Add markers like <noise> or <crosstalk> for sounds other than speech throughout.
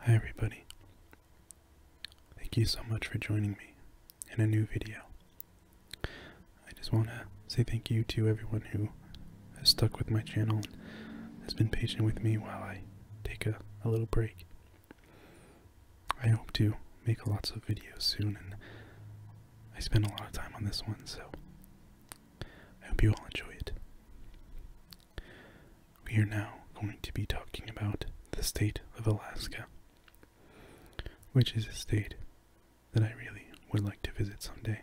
Hi everybody. Thank you so much for joining me in a new video. I just want to say thank you to everyone who has stuck with my channel and has been patient with me while I take a, little break. I hope to make lots of videos soon and I spent a lot of time on this one, so I hope you all enjoy it. We are now going to be talking about the state of Alaska, which is a state that I really would like to visit someday.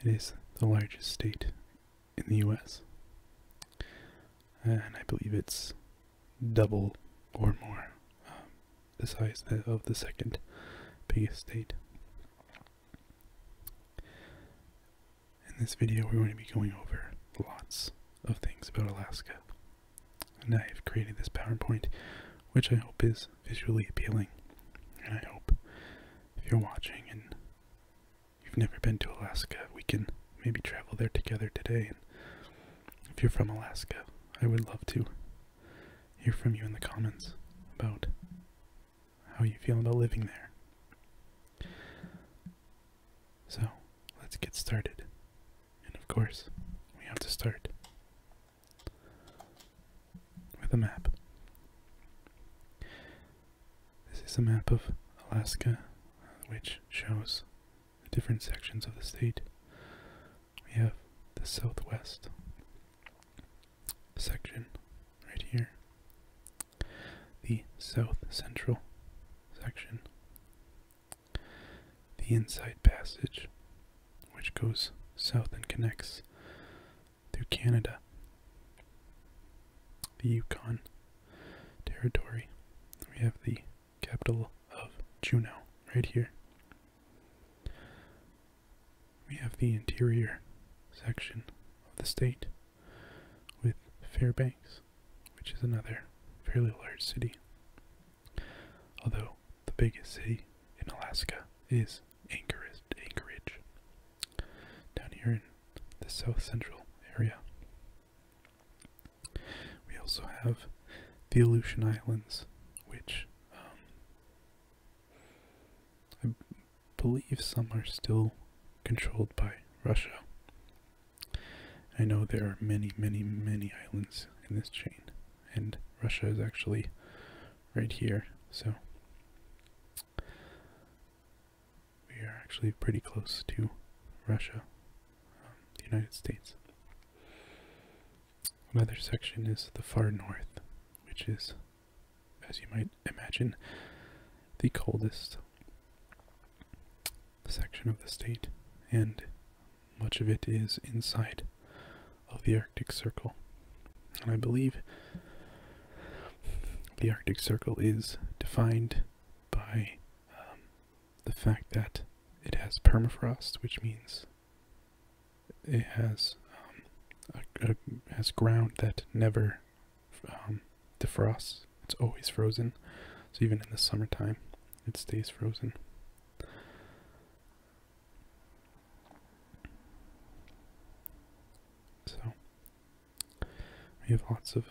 It is the largest state in the US, and I believe it's double or more um, the size of the second biggest state. In this video, we're going to be going over lots of things about Alaska. And I have created this PowerPoint, which I hope is visually appealing. And I hope if you're watching and you've never been to Alaska, we can maybe travel there together today. And if you're from Alaska, I would love to hear from you in the comments about how are you feeling about living there? So, let's get started. And of course, we have to start with a map. This is a map of Alaska, which shows the different sections of the state. We have the southwest, section right here, the south central section, the inside passage, which goes south and connects through Canada, the Yukon territory. We have the capital of Juneau right here. We have the interior section of the state with Fairbanks, which is another fairly large city. Although the biggest city in Alaska is Anchorage, down here in the south central area. We also have the Aleutian Islands, which um, believe some are still controlled by Russia. I know there are many, many, many islands in this chain, and Russia is actually right here, so we are actually pretty close to Russia, um, the United States. Another section is the far north, which is as you might imagine, the coldest section of the state, and much of it is inside of the Arctic Circle. And I believe the Arctic Circle is defined by um, the fact that it has permafrost, which means it has um, has ground that never um, defrost. It's always frozen. So even in the summertime, it stays frozen. So we have lots of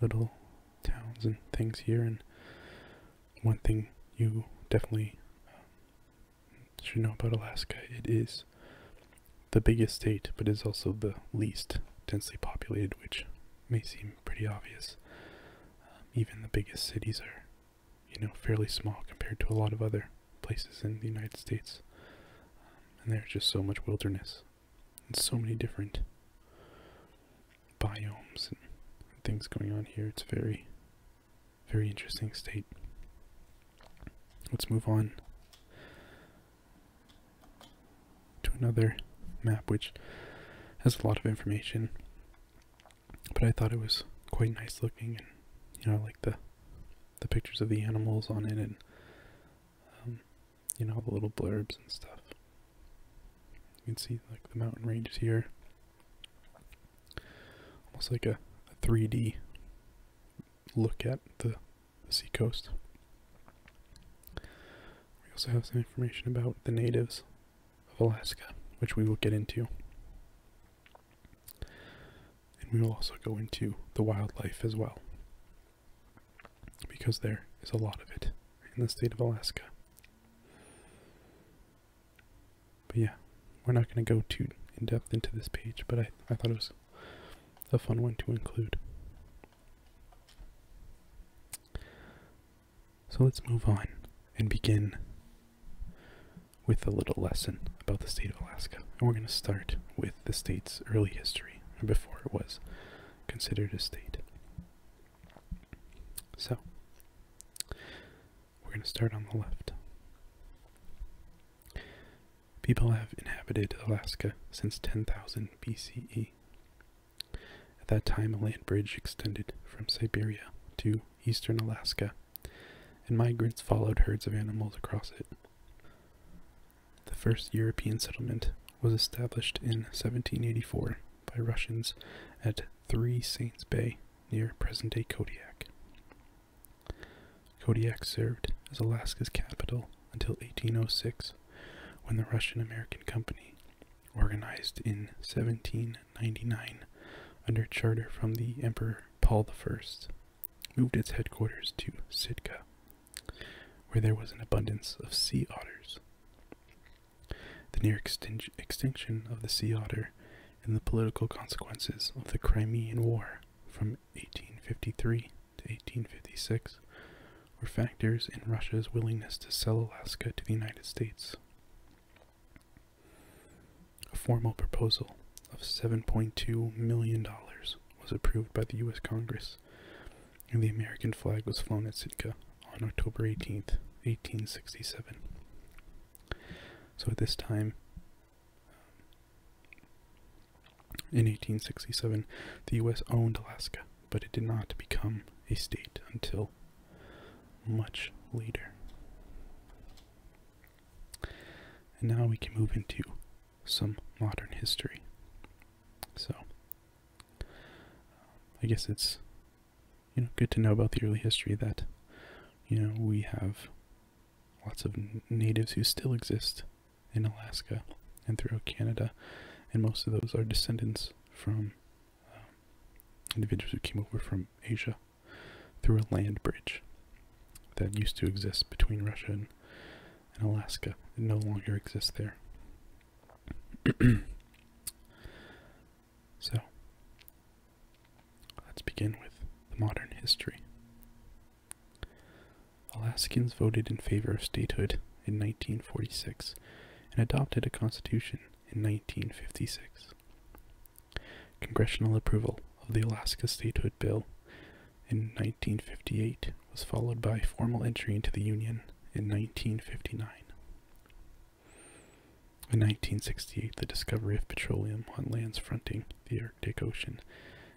little towns and things here, and one thing you definitely um, should you know about Alaska? It is the biggest state, but is also the least densely populated, which may seem pretty obvious. Um, even the biggest cities are, you know, fairly small compared to a lot of other places in the United States. Um, and there's just so much wilderness and so many different biomes and things going on here. It's a very, very interesting state. Let's move on to another map which has a lot of information. But I thought it was quite nice looking and you know like the the pictures of the animals on it and um, you know the little blurbs and stuff. You can see like the mountain ranges here. Almost like a 3D look at the, the seacoast. We also have some information about the natives of Alaska, which we will get into. And we will also go into the wildlife as well, because there is a lot of it in the state of Alaska. But yeah, we're not going to go too in depth into this page, but I, I thought it was a fun one to include. So let's move on and begin with a little lesson about the state of Alaska. And we're going to start with the state's early history, before it was considered a state. So, we're going to start on the left. People have inhabited Alaska since 10,000 BCE. At that time, a land bridge extended from Siberia to eastern Alaska, and migrants followed herds of animals across it. The first European settlement was established in 1784 by Russians at Three Saints Bay near present-day Kodiak. Kodiak served as Alaska's capital until 1806, when the Russian American Company, organized in 1799 under charter from the Emperor Paul I, moved its headquarters to Sitka, where there was an abundance of sea otters. The near extinction of the sea otter and the political consequences of the Crimean War from 1853 to 1856 were factors in Russia's willingness to sell Alaska to the United States. A formal proposal of $7.2 million was approved by the U.S. Congress, and the American flag was flown at Sitka on October 18, 1867. So at this time, in 1867, the U.S. owned Alaska, but it did not become a state until much later. And now we can move into some modern history. So, I guess it's you know good to know about the early history that you know we have lots of natives who still exist in Alaska and throughout Canada, and most of those are descendants from um, individuals who came over from Asia through a land bridge that used to exist between Russia and, and Alaska. It no longer exists there. <clears throat> so, let's begin with the modern history Alaskans voted in favor of statehood in 1946 and adopted a constitution in 1956. Congressional approval of the Alaska Statehood Bill in 1958 was followed by formal entry into the Union in 1959. In 1968, the discovery of petroleum on lands fronting the Ocean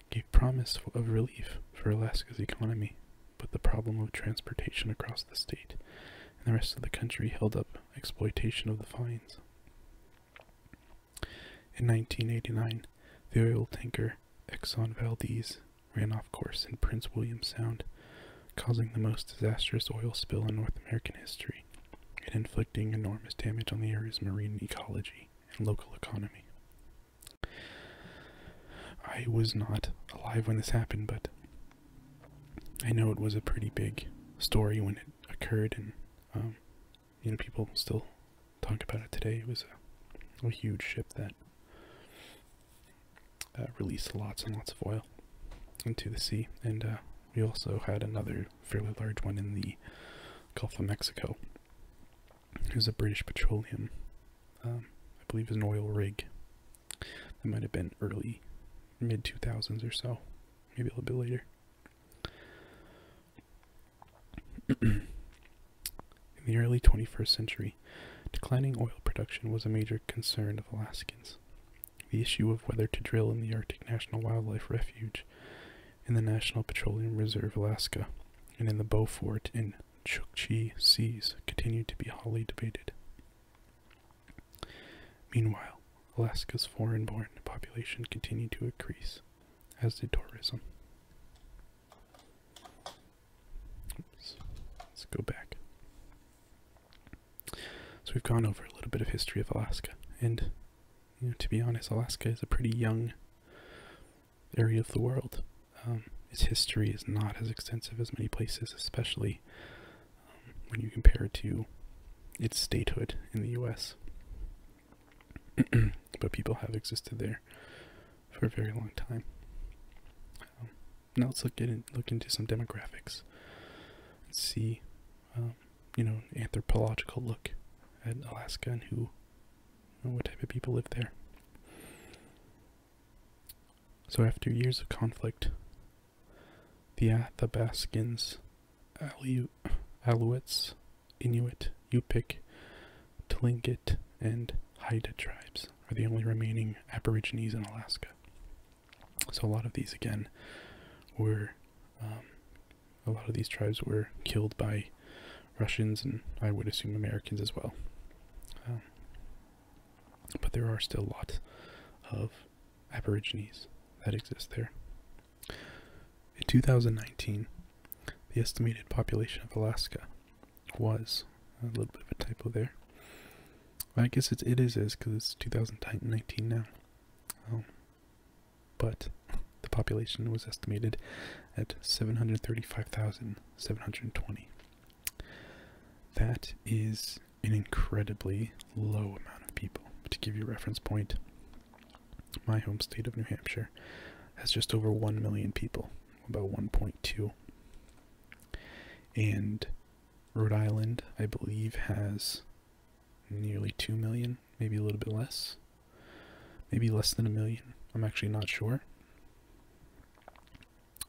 gave promise of relief for Alaska's economy, but the problem of transportation across the state and the rest of the country held up exploitation of the finds. In 1989, the oil tanker Exxon Valdez ran off course in Prince William Sound, causing the most disastrous oil spill in North American history and inflicting enormous damage on the area's marine ecology and local economy. I was not alive when this happened, but I know it was a pretty big story when it occurred, and um, you know people still talk about it today. It was a, huge ship that uh, released lots and lots of oil into the sea, and uh, we also had another fairly large one in the Gulf of Mexico it a British Petroleum. Um, I believe is an oil rig. That might have been early, mid 2000s or so. Maybe a little bit later. <clears throat> In the early 21st century, declining oil production was a major concern of Alaskans. The issue of whether to drill in the Arctic National Wildlife Refuge in the National Petroleum Reserve, Alaska, and in the Beaufort and Chukchi Seas continue to be hotly debated. Meanwhile, Alaska's foreign born population continued to increase, as did tourism. Let's go back. So we've gone over a little bit of history of Alaska, and to be honest, Alaska is a pretty young area of the world. Um, its history is not as extensive as many places, especially um, when you compare it to its statehood in the U.S. <clears throat> but people have existed there for a very long time. Um, now let's look, in, look into some demographics and see you know, anthropological look at Alaska and who, and what type of people live there. So after years of conflict, the Athabascans, Aleut, Alouettes, Inuit, Yupik, Tlingit, and Haida tribes are the only remaining Aborigines in Alaska. So a lot of these, again, were um, a lot of these tribes were killed by Russians and I would assume Americans as well. Um, but there are still lots of Aborigines that exist there. In 2019, the estimated population of Alaska was a little bit of a typo there. I guess it's, it is is because it's 2019 now. Um, but the population was estimated at 735,720. That is an incredibly low amount of people. To give you a reference point, my home state of New Hampshire has just over 1 million people, about 1.2. And Rhode Island, I believe, has nearly 2 million maybe a little bit less, maybe less than a million. I'm actually not sure.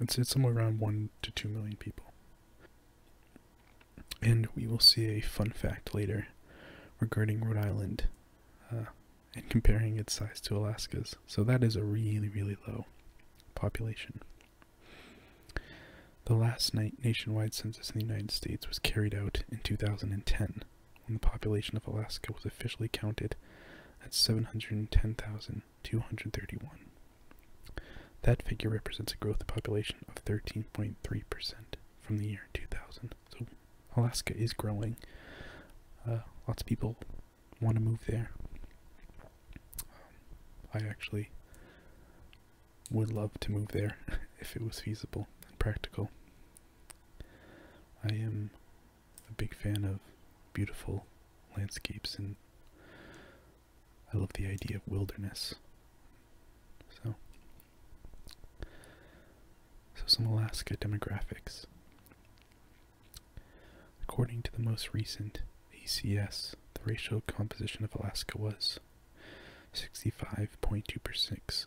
It's, it's somewhere around 1 to 2 million people. And we will see a fun fact later regarding Rhode Island uh, and comparing its size to Alaska's. So that is a really, really low population. The last night nationwide census in the United States was carried out in 2010 when the population of Alaska was officially counted at 710,231. That figure represents a growth of population of 13.3% from the year 2000. So Alaska is growing. Uh, lots of people want to move there. Um, I actually would love to move there <laughs> if it was feasible and practical. I am a big fan of beautiful landscapes and I love the idea of wilderness. So, so some Alaska demographics. According to the most recent ACS, the racial composition of Alaska was 65.2%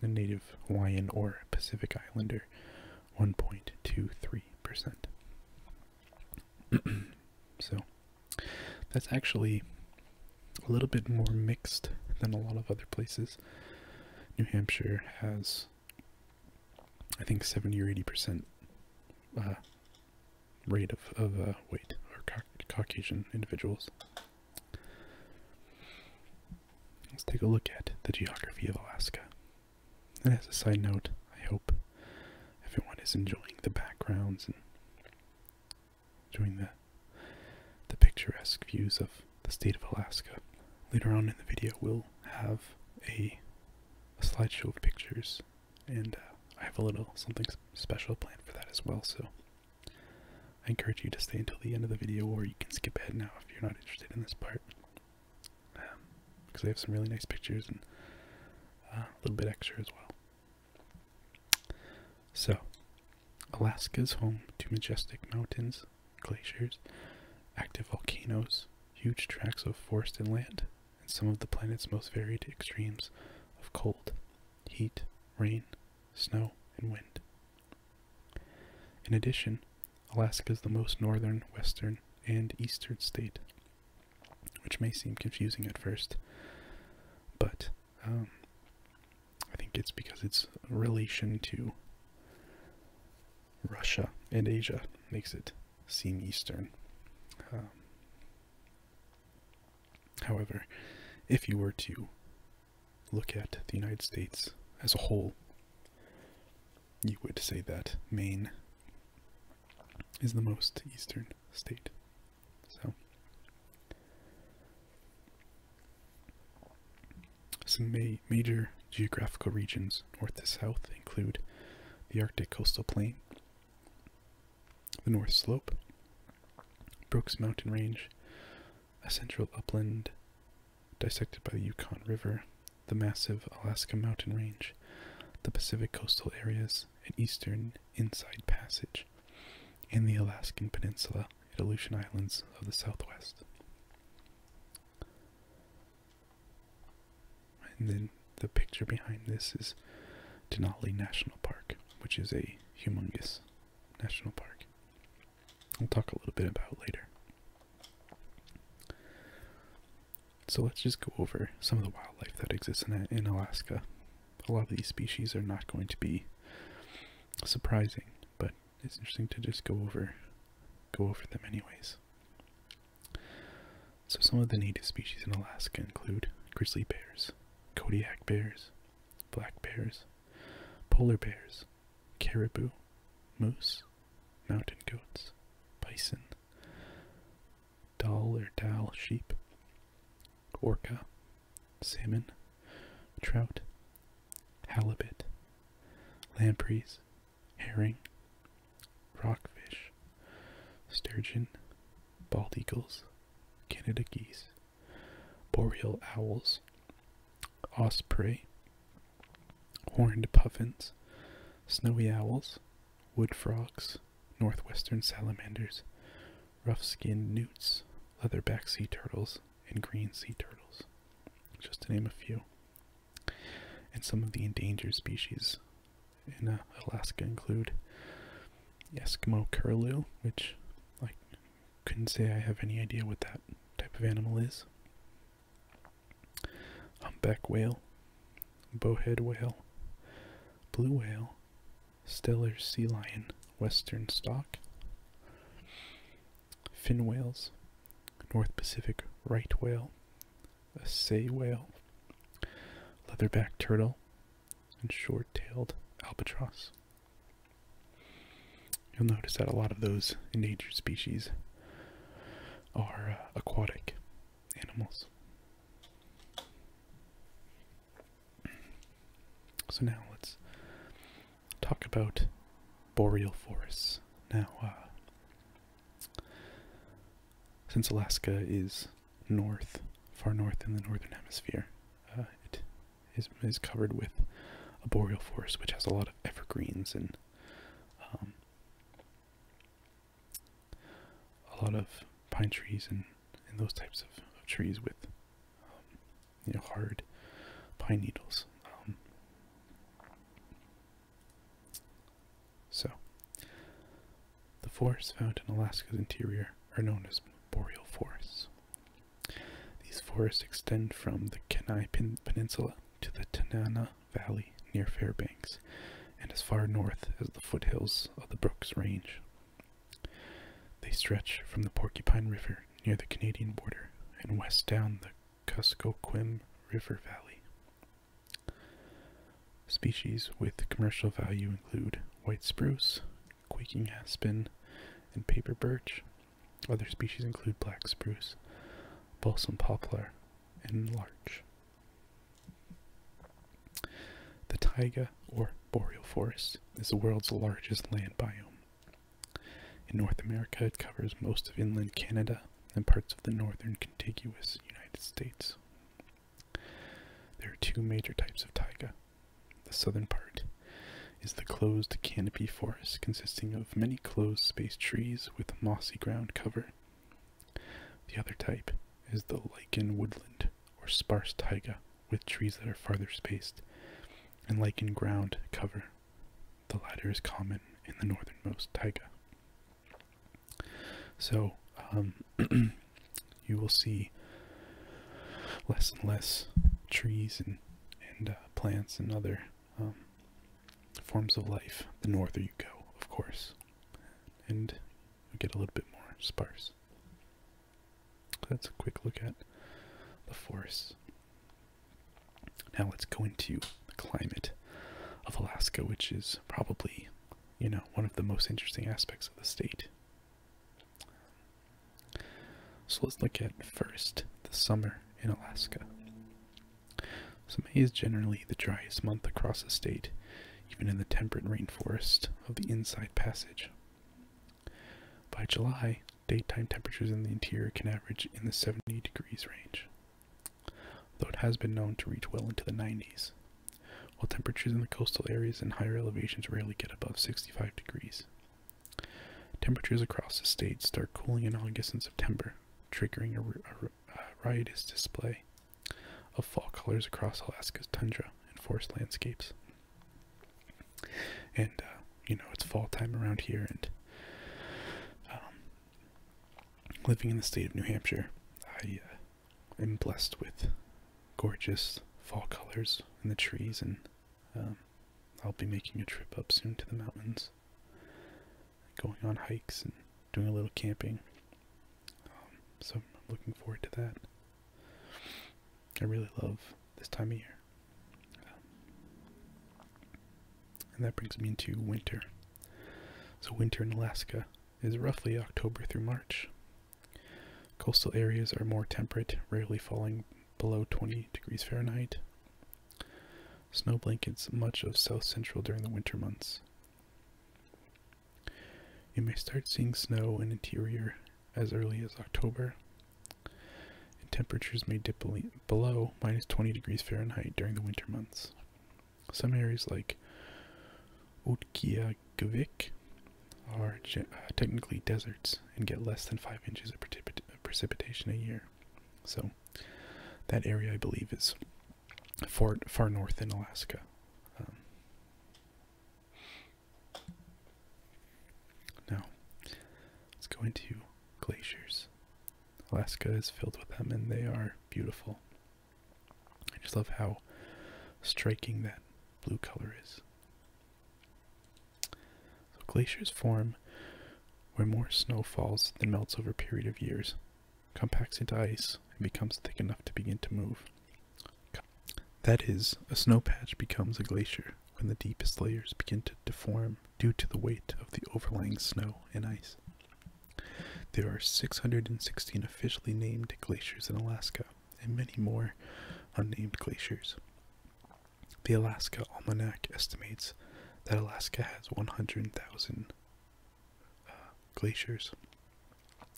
a native Hawaiian or Pacific Islander, 1.23%. <clears throat> so that's actually a little bit more mixed than a lot of other places. New Hampshire has, I think, 70 or 80% uh, rate of, of uh, or Caucasian individuals. Let's take a look at the geography of Alaska. And as a side note, I hope everyone is enjoying the backgrounds and enjoying the the picturesque views of the state of Alaska. Later on in the video, we'll have a, slideshow of pictures, and uh, I have a little something special planned for that as well. So I encourage you to stay until the end of the video, or you can skip ahead now if you're not interested in this part. Because um, I have some really nice pictures and uh, a little bit extra as well. So, Alaska is home to majestic mountains, glaciers, active volcanoes, huge tracts of forest and land, and some of the planet's most varied extremes of cold, heat, rain, snow, and wind. In addition, Alaska is the most northern, western, and eastern state, which may seem confusing at first, but um, I think it's because its relation to Russia and Asia makes it seem eastern. Um, however, if you were to look at the United States as a whole, you would say that Maine is the most eastern state. So, some major geographical regions north to south include the Arctic coastal plain, the North Slope, Brooks Mountain Range, a central upland dissected by the Yukon River, the massive Alaska mountain range, the Pacific coastal areas, and eastern Inside Passage, and the Alaskan Peninsula and Aleutian Islands of the Southwest. And then the picture behind this is Denali National Park, which is a humongous national park we will talk a little bit about later. So let's just go over some of the wildlife that exists in Alaska. A lot of these species are not going to be surprising, but it's interesting to just go over go over them anyways. So some of the native species in Alaska include grizzly bears, Kodiak bears, black bears, polar bears, caribou, moose, mountain goats, bison, doll or dal sheep, orca, salmon, trout, halibut, lampreys, herring, rockfish, sturgeon, bald eagles, Canada geese, boreal owls, osprey, horned puffins, snowy owls, wood frogs, northwestern salamanders, rough skinned newts, leatherback sea turtles, and green sea turtles, just to name a few. And some of the endangered species in uh, Alaska include Eskimo curlew, which, like couldn't say I have any idea what that type of animal is. Humpback whale, bowhead whale, blue whale, stellar sea lion, western stock, fin whales, North Pacific right whale, a sei whale, leatherback turtle, and short tailed albatross. You'll notice that a lot of those endangered species are uh, aquatic animals. So now let's talk about boreal forests. Now, uh, since Alaska is north, far north in the northern hemisphere, uh, it is, covered with a boreal forest, which has a lot of evergreens and um, a lot of pine trees and, those types of, trees with um, you know hard pine needles. Um. so the forests found in Alaska's interior are known as boreal forests. These forests extend from the Kenai Peninsula to the Tanana Valley near Fairbanks and as far north as the foothills of the Brooks Range. They stretch from the Porcupine River near the Canadian border and west down the Kuskokwim River Valley. Species with commercial value include white spruce, quaking aspen, and paper birch, other species include black spruce, balsam poplar, and larch. The taiga, or boreal forest, is the world's largest land biome. In North America, it covers most of inland Canada and parts of the northern contiguous United States. There are two major types of taiga the southern part is the closed canopy forest consisting of many closed spaced trees with mossy ground cover. The other type is the lichen woodland or sparse taiga with trees that are farther spaced and lichen ground cover. The latter is common in the northernmost taiga. So um, <clears throat> you will see less and less trees and and uh, plants and other um, forms of life, the norther you go, of course, and you get a little bit more sparse. that's a quick look at the forests. Now let's go into the climate of Alaska, which is probably, you know, one of the most interesting aspects of the state. So let's look at first the summer in Alaska. So May is generally the driest month across the state, even in the temperate rainforest of the Inside Passage. By July, daytime temperatures in the interior can average in the 70 degrees range, though it has been known to reach well into the 90s, while temperatures in the coastal areas and higher elevations rarely get above 65 degrees. Temperatures across the state start cooling in August and September, triggering a, riotous display of fall colors across Alaska's tundra and forest landscapes. And, uh, you know, it's fall time around here, and um, living in the state of New Hampshire, I uh, am blessed with gorgeous fall colors in the trees and um, I'll be making a trip up soon to the mountains, going on hikes and doing a little camping. Um, so I'm looking forward to that. I really love this time of year. Um, and that brings me into winter. So, winter in Alaska is roughly October through March. Coastal areas are more temperate, rarely falling below 20 degrees Fahrenheit. Snow blankets much of south central during the winter months. You may start seeing snow in interior as early as October, and temperatures may dip below minus 20 degrees Fahrenheit during the winter months. Some areas like Utqiagvik are technically deserts and get less than 5 inches of precipitation precipitation a year. So that area, I believe, is far far north in Alaska. Um, now, let's go into glaciers. Alaska is filled with them, and they are beautiful. I just love how striking that blue color is. So glaciers form where more snow falls than melts over a period of years, compacts into ice, and becomes thick enough to begin to move. That is, a snow patch becomes a glacier when the deepest layers begin to deform due to the weight of the overlying snow and ice. There are 616 officially named glaciers in Alaska, and many more unnamed glaciers. The Alaska Almanac estimates that Alaska has 100,000 uh, glaciers,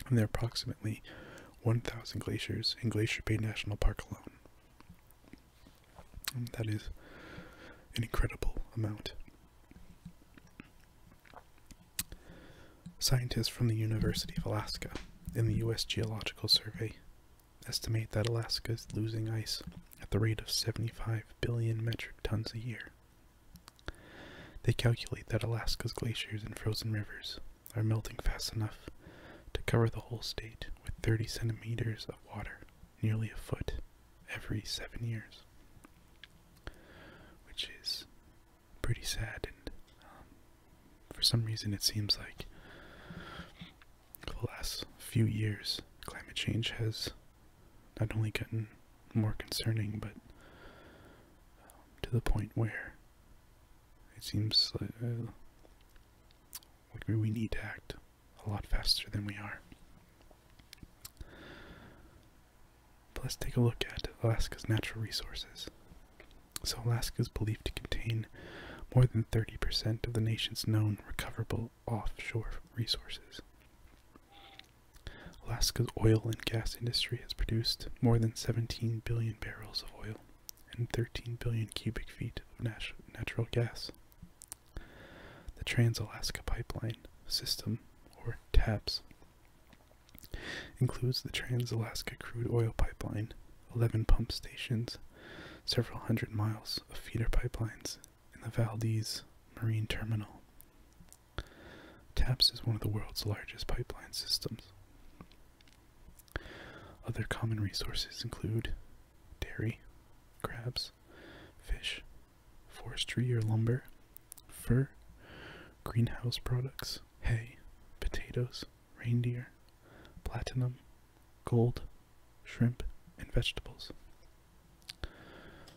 and there are approximately 1,000 glaciers in Glacier Bay National Park alone. that is an incredible amount. Scientists from the University of Alaska and the U.S. Geological Survey estimate that Alaska is losing ice at the rate of 75 billion metric tons a year. They calculate that Alaska's glaciers and frozen rivers are melting fast enough to cover the whole state with 30 centimeters of water, nearly a foot, every seven years. Which is pretty sad, and um, for some reason it seems like the last few years, climate change has not only gotten more concerning, but um, to the point where it seems uh, we need to act a lot faster than we are. let's take a look at Alaska's natural resources. So Alaska is believed to contain more than 30% of the nation's known recoverable offshore resources. Alaska's oil and gas industry has produced more than 17 billion barrels of oil and 13 billion cubic feet of natural gas. The Trans Alaska Pipeline System, or TAPS, includes the Trans Alaska Crude Oil Pipeline, 11 pump stations, several hundred miles of feeder pipelines in the Valdez Marine Terminal. TAPS is one of the world's largest pipeline systems. Other common resources include dairy, crabs, fish, forestry or lumber, fur, greenhouse products, hay, potatoes, reindeer, platinum, gold, shrimp, and vegetables.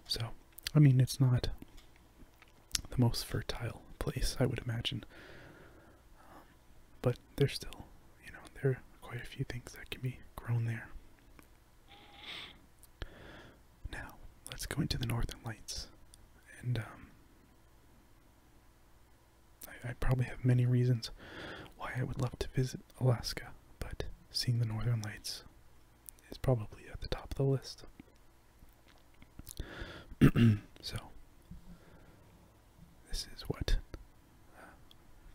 So, I mean, it's not the most fertile place, I would imagine. Um, but there's still, you know, there are quite a few things that can be grown there. Now, let's go into the northern lights. And, um, I, probably have many reasons why I would love to visit Alaska, but seeing the northern lights is probably at the top of the list. <clears throat> so, this is what uh,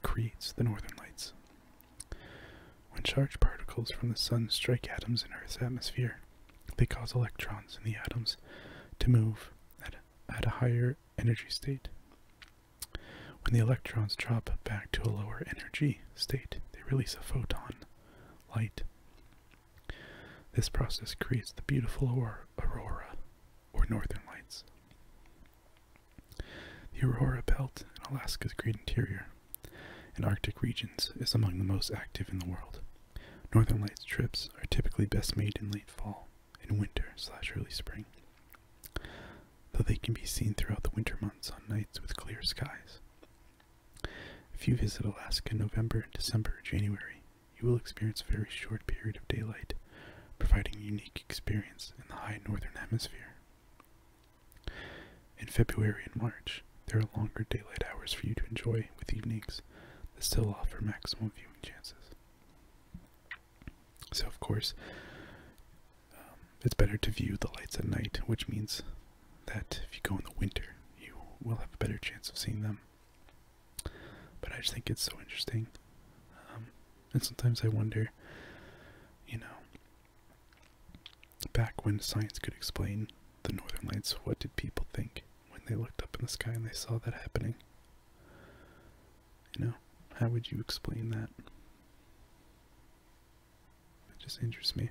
creates the northern lights. When charged particles from the sun strike atoms in Earth's atmosphere, they cause electrons in the atoms to move at a higher energy state. When the electrons drop back to a lower energy state, they release a photon, light. This process creates the beautiful aurora, or northern lights. The aurora belt in Alaska's great interior and Arctic regions is among the most active in the world. Northern Lights trips are typically best made in late fall in winter slash early spring, though they can be seen throughout the winter months on nights with clear skies. If you visit Alaska in November, December, or January, you will experience a very short period of daylight, providing a unique experience in the high northern hemisphere. In February and March, there are longer daylight hours for you to enjoy with evenings that still offer maximum viewing chances. So, of course, um, it's better to view the lights at night, which means that if you go in the winter, you will have a better chance of seeing them. But I just think it's so interesting. Um, and sometimes I wonder, you know, back when science could explain the northern lights, what did people think when they looked up in the sky and they saw that happening? You know, how would you explain that? It just interests me.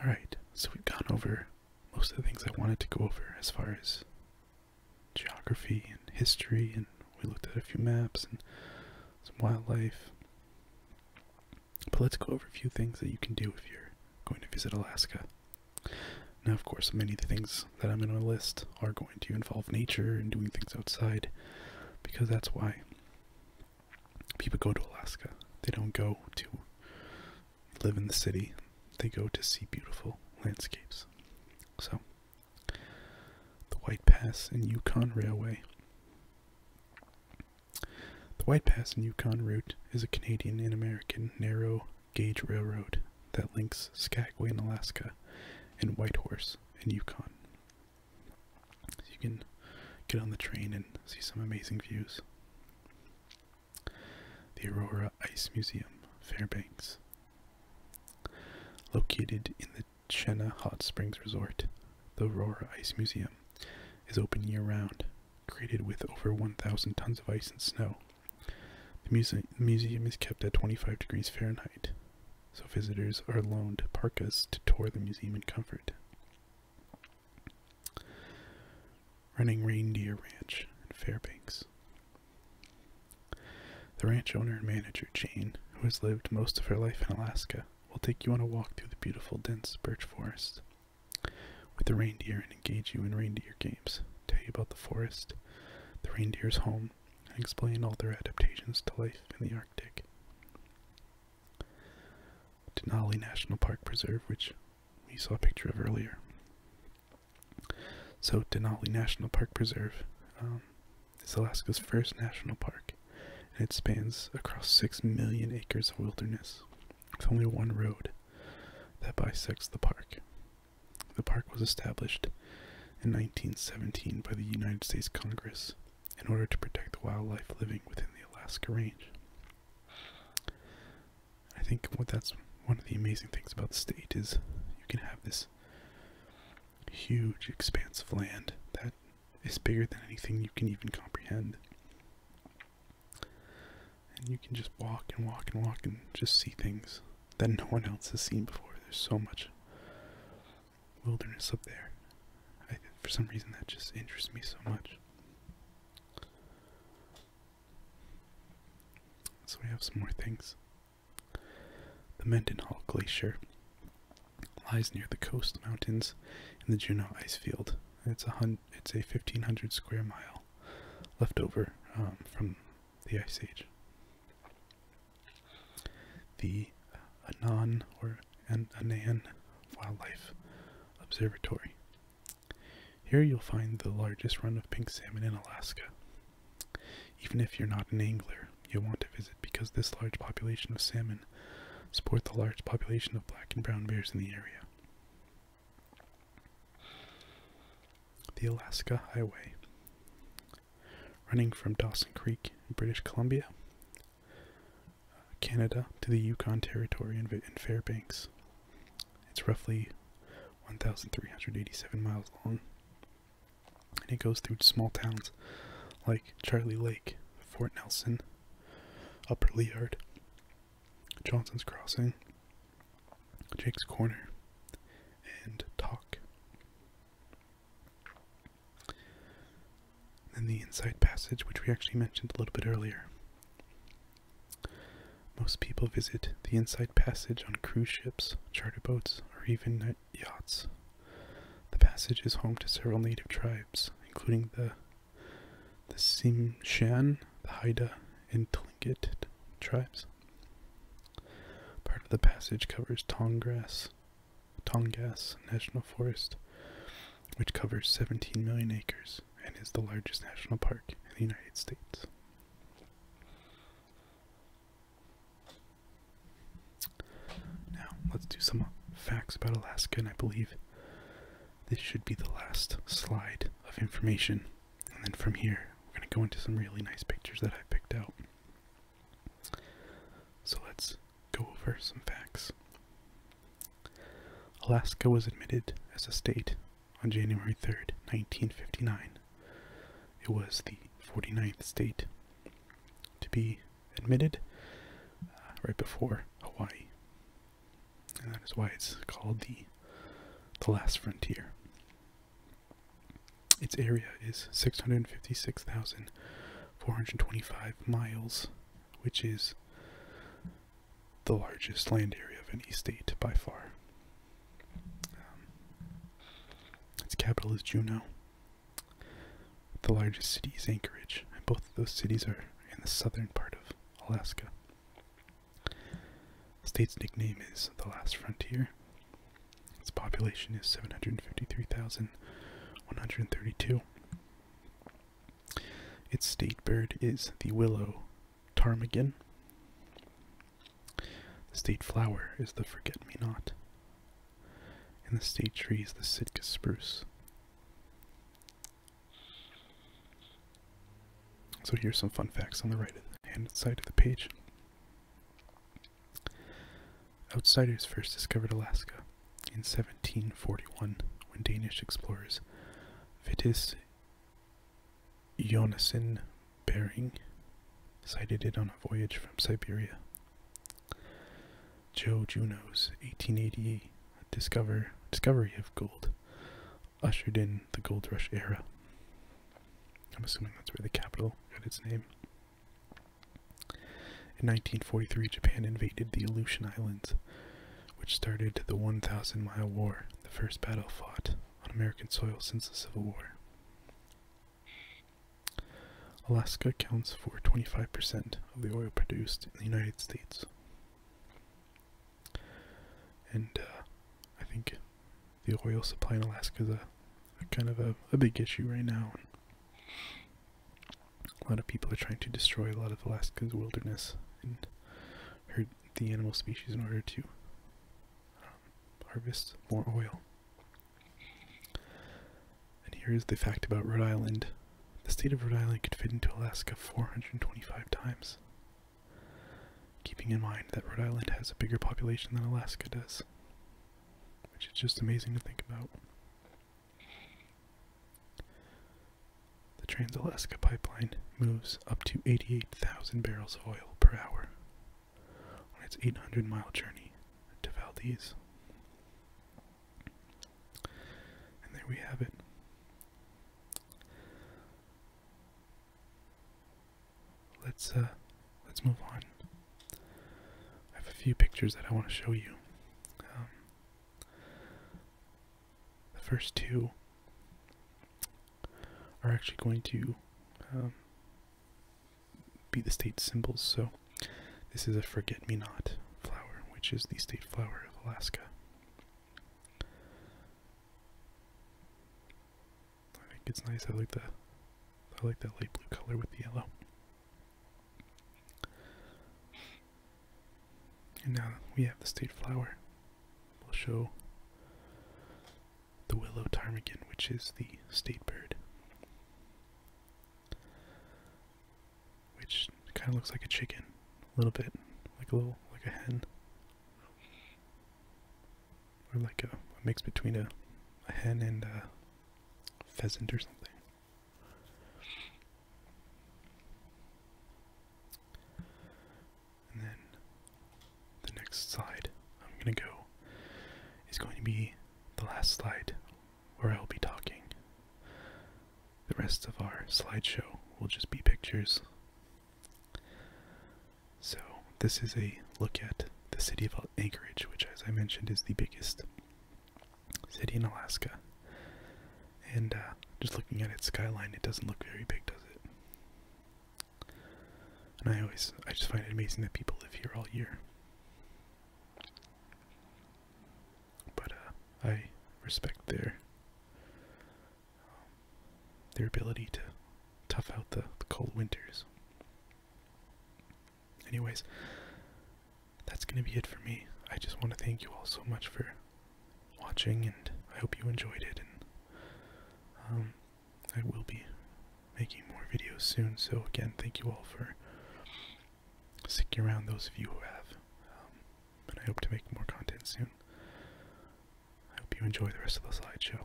Alright, so we've gone over most of the things I wanted to go over as far as geography and history, and we looked at a few maps and some wildlife. But let's go over a few things that you can do if you're going to visit Alaska. Now, of course, many of the things that I'm going to list are going to involve nature and doing things outside because that's why people go to Alaska. They don't go to live in the city, they go to see beautiful landscapes. So, the White Pass and Yukon Railway. The White Pass and Yukon route is a Canadian and American narrow gauge railroad that links Skagway in Alaska and Whitehorse in Yukon. you can get on the train and see some amazing views. The Aurora Ice Museum, Fairbanks. Located in the Chena Hot Springs Resort, the Aurora Ice Museum is open year round, created with over 1,000 tons of ice and snow the museum is kept at 25 degrees Fahrenheit, so visitors are loaned parkas to tour the museum in comfort. Running Reindeer Ranch in Fairbanks. The ranch owner and manager, Jane, who has lived most of her life in Alaska, will take you on a walk through the beautiful dense birch forest with the reindeer and engage you in reindeer games tell you about the forest, the reindeer's home, and explain all their adaptations to life in the Arctic. Denali National Park Preserve, which we saw a picture of earlier. So, Denali National Park Preserve um, is Alaska's first national park, and it spans across 6 million acres of wilderness, with only one road that bisects the park. The park was established in 1917 by the United States Congress in order to protect the wildlife living within the Alaska Range. I think what that's one of the amazing things about the state is you can have this huge expanse of land that is bigger than anything you can even comprehend. And you can just walk and walk and walk and just see things that no one else has seen before. There's so much wilderness up there. for some reason, that just interests me so much. So we have some more things. The Mendenhall Glacier lies near the coast mountains in the Juneau ice field. It's a hun it's a 1500 square mile leftover um, from the Ice Age. The Anan or Anan Wildlife Observatory. Here you'll find the largest run of pink salmon in Alaska. Even if you're not an angler, you'll want to visit because this large population of salmon support the large population of black and brown bears in the area the Alaska Highway, running from Dawson Creek in British Columbia, Canada, to the Yukon Territory and Fairbanks. It's roughly 1,387 miles long, and it goes through small towns like Charlie Lake, Fort Nelson, Upper Leeward, Johnson's Crossing, Jake's Corner, and Talk. Then the Inside Passage, which we actually mentioned a little bit earlier. Most people visit the Inside Passage on cruise ships, charter boats, or even yachts. The passage is home to several native tribes, including the the Simshan, the Haida, and Tlingit tribes. Part of the passage covers Tongass, Tongass National Forest, which covers 17 million acres and is the largest national park in the United States. Now, let's do some facts about Alaska, and I believe this should be the last slide of information and then from here, we're going to go into some really nice pictures that I picked out. So let's go over some facts. Alaska was admitted as a state on January 3rd, 1959. It was the 49th state to be admitted uh, right before Hawaii. And that is why it's called the, the last frontier. Its area is 656,425 miles, which is the largest land area of any state by far. Um, its capital is Juneau. The largest city is Anchorage, and both of those cities are in the southern part of Alaska. The state's nickname is the Last Frontier. Its population is 753,132. Its state bird is the willow ptarmigan. The state flower is the forget-me-not. And the state tree is the Sitka spruce. So here's some fun facts on the right hand side of the page. Outsiders first discovered Alaska in 1741 when Danish explorers Vitus Jonasson Bering sighted it on a voyage from Siberia. Joe Juno's 1888 discovery of gold ushered in the gold rush era. I'm assuming that's where the capital got its name. In 1943, Japan invaded the Aleutian Islands, which started the 1,000 Mile War, the first battle fought on American soil since the Civil War. Alaska accounts for 25% of the oil produced in the United States. And uh, I think the oil supply in Alaska is a, kind of a, big issue right now. A lot of people are trying to destroy a lot of Alaska's wilderness and hurt the animal species in order to um, harvest more oil. And here is the fact about Rhode Island. The state of Rhode Island could fit into Alaska 425 times keeping in mind that Rhode Island has a bigger population than Alaska does, which is just amazing to think about. The Trans Alaska Pipeline moves up to 88,000 barrels of oil per hour on its 800 mile journey to Valdez. And there we have it let's uh, let's move on. I have a few pictures that I want to show you. Um, the first two are actually going to um, be the state symbols. So this is a forget-me-not flower, which is the state flower of Alaska. I think it's nice. I like the I like that light blue color with the yellow. And now we have the state flower. We'll show the willow ptarmigan, which is the state bird. Which kind of looks like a chicken, a little bit, like a little, like a hen or like a, mix between a, hen and a pheasant or something. And then the next slide I'm going to go is going to be the last slide where I'll be talking. The rest of our slideshow will just be pictures so, this is a look at the city of Anchorage, which, as I mentioned, is the biggest city in Alaska. And uh, just looking at its skyline, it doesn't look very big, does it? And I always, I just find it amazing that people live here all year. But uh, I respect their their ability to tough out the, cold winters. Anyways, that's going to be it for me. I just want to thank you all so much for watching, and I hope you enjoyed it. And um, I will be making more videos soon, so again, thank you all for sticking around, those of you who have. Um, and I hope to make more content soon. I hope you enjoy the rest of the slideshow.